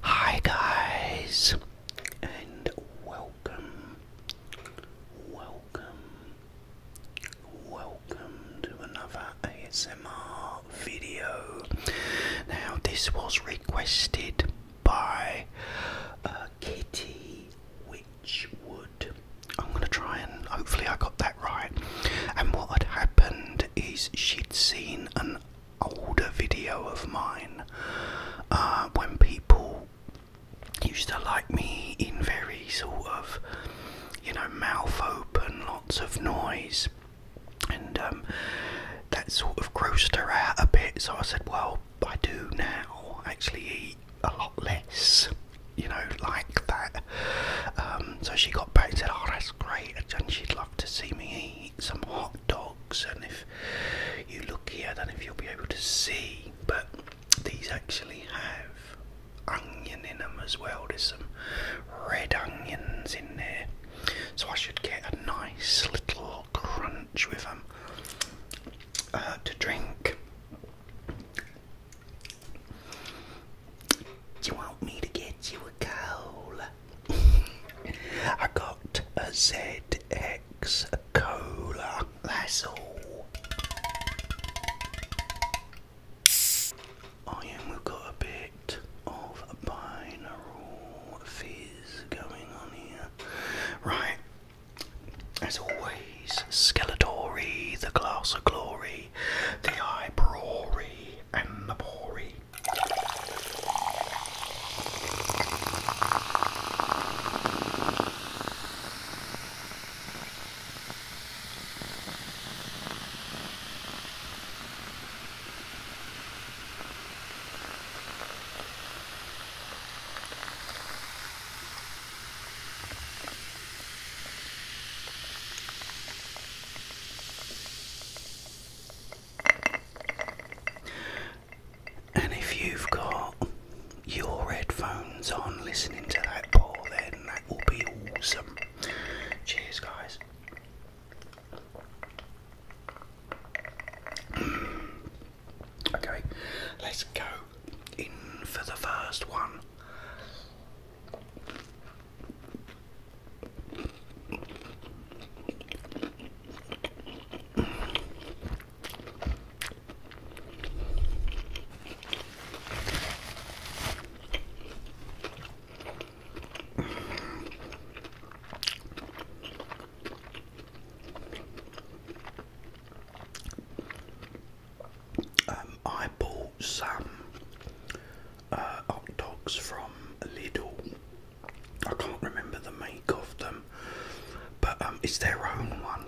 Hi guys and welcome welcome welcome to another ASMR video. Now this was requested by uh, Kitty would. I'm gonna try and hopefully I got that right. And what had happened is she'd seen an older video of mine uh, when people used to like me in very sort of, you know, mouth open, lots of noise, and um, that sort of grossed her out a bit. So I said, well, I do now actually eat a lot less, you know, like that. Um, so she got back and said, oh, that's great, and she'd love to see me eat some hot dogs. And if you look here, then if you'll be able to see, but these actually have onion in them as well. There's some red onions in there, so I should get a nice little crunch with them uh, to drink. You want me to get you a cola? I got a Z X cola. That's all. I oh, am we've got a bit of a binaural fizz going on here. Right. As always, Skeletory, the glass of glory the I Brewery, and the Brewery. And if you've got your headphones on listening to that pour, then that will be awesome. Cheers, guys. Okay, let's go in for the first one. Um, eyeball some hot uh, dogs from Lidl. I can't remember the make of them, but um, it's their own one.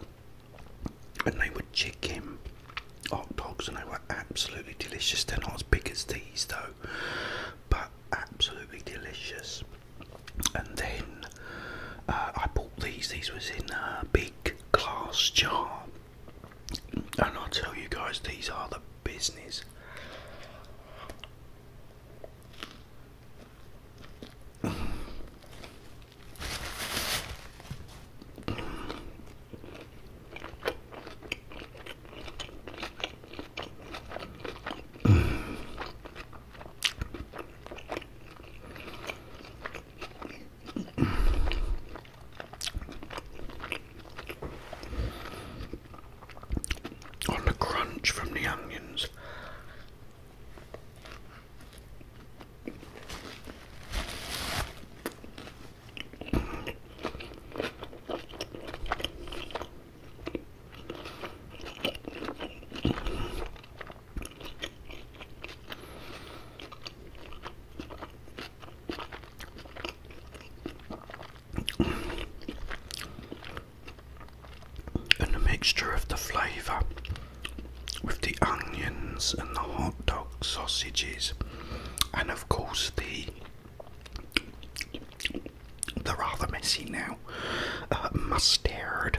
And they were chicken hot dogs, and they were absolutely delicious. They're not as big as these though, but absolutely delicious. And then uh, I bought these. These was in a uh, big Class job, And I tell you guys, these are the business on the crunch from the onions. And the mixture of the flavour with the onions and the hot dog sausages, and of course the the rather messy now uh, mustard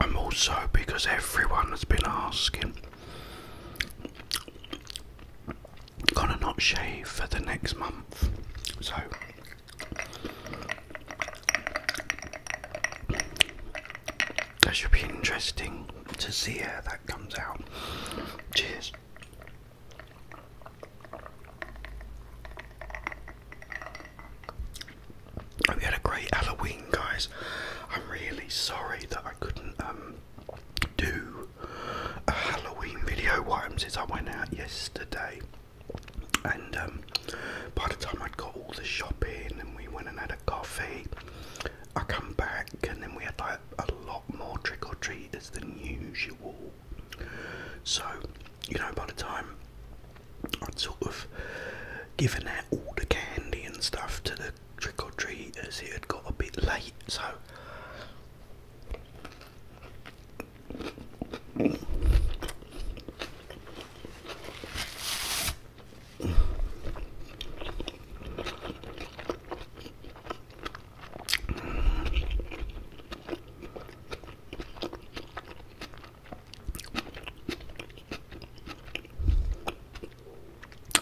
I'm also because everyone has been asking, gonna not shave for the next month, so that should be interesting to see how that comes out. Cheers. We had a great Halloween, guys. I'm really sorry that I couldn't um, do a Halloween video. What happens is I went out yesterday, and um, by the time I'd got all the shopping and we went and had a coffee, I come back and then we had like a lot more trick or treaters than usual. So, you know, by the time I'd sort of given out all the candy and stuff to the trick or treaters, it had got a bit late. So,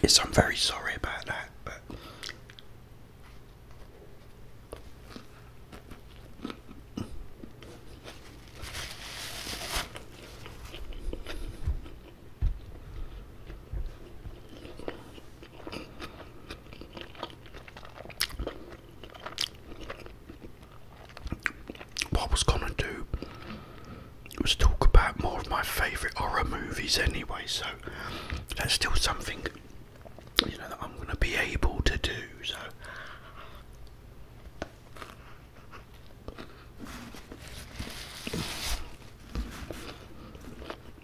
Yes, I'm very sorry about that, but what was gonna do was talk about more of my favourite horror movies anyway, so that's still something you know that I'm gonna be able to do, so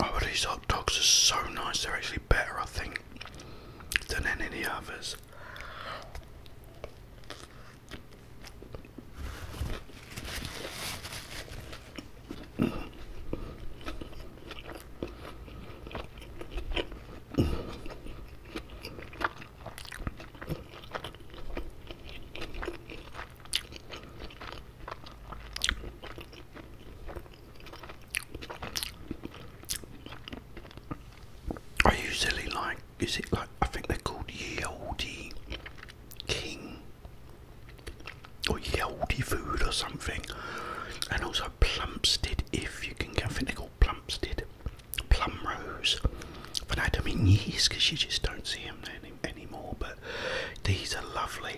Oh, but these hot dogs are so nice. They're actually better, I think, than any the others. I usually like, is it like, I think they're called Ye Olde King or Ye Food or something, and also Plumstead, if you can, I think they're called Plumstead, Plum Rose, but I don't mean yeast because you just don't see them then anymore, but these are lovely.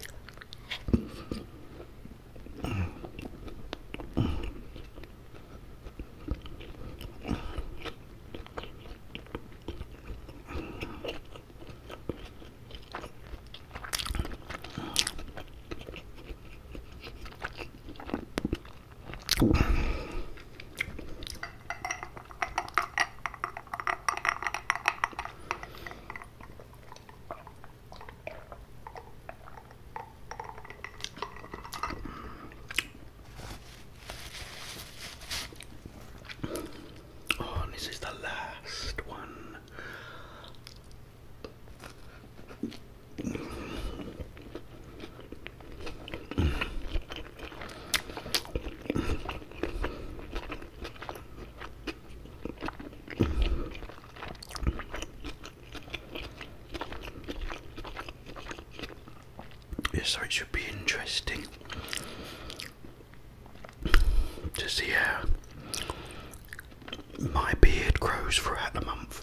Oh, and this is the last one so it should be interesting to see how my beard grows throughout the month.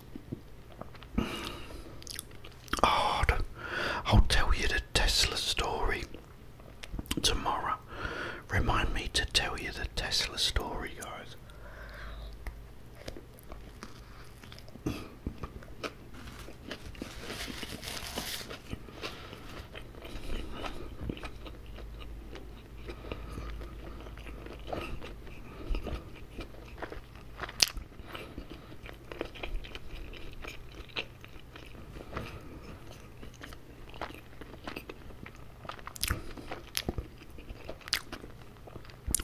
Hard. I'll tell you the Tesla story tomorrow. Remind me to tell you the Tesla story, guys.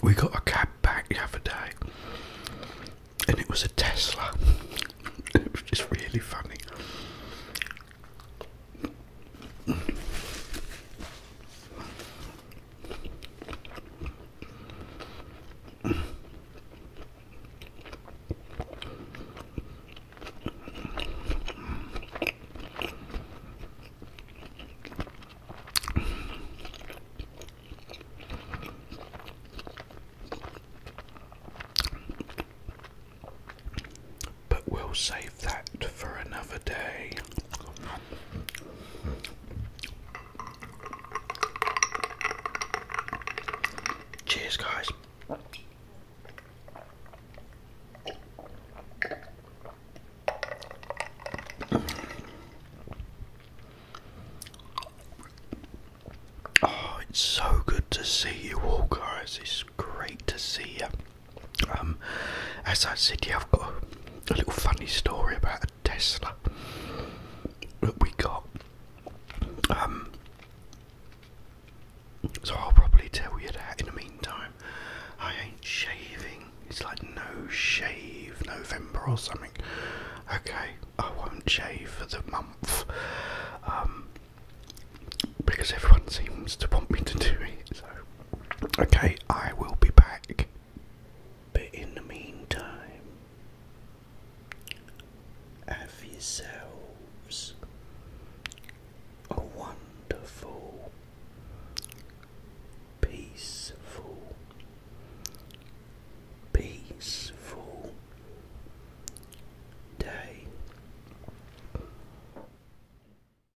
We got a cab back the other day, and it was a Tesla. it was just really funny. But we'll save that for another day. Cheers, guys. Oh, it's so good to see you all, guys. It's great to see you. Um, as I said, yeah, I've got a, little funny story about a Tesla that we got. Um, so I'll probably tell you that in the meantime. I ain't shaving. It's like no shave November or something. Okay, I won't shave for the month. Um, because everyone seems to want me to do it, Okay, I will be back. But in the meantime, have yourselves a wonderful, peaceful, peaceful day.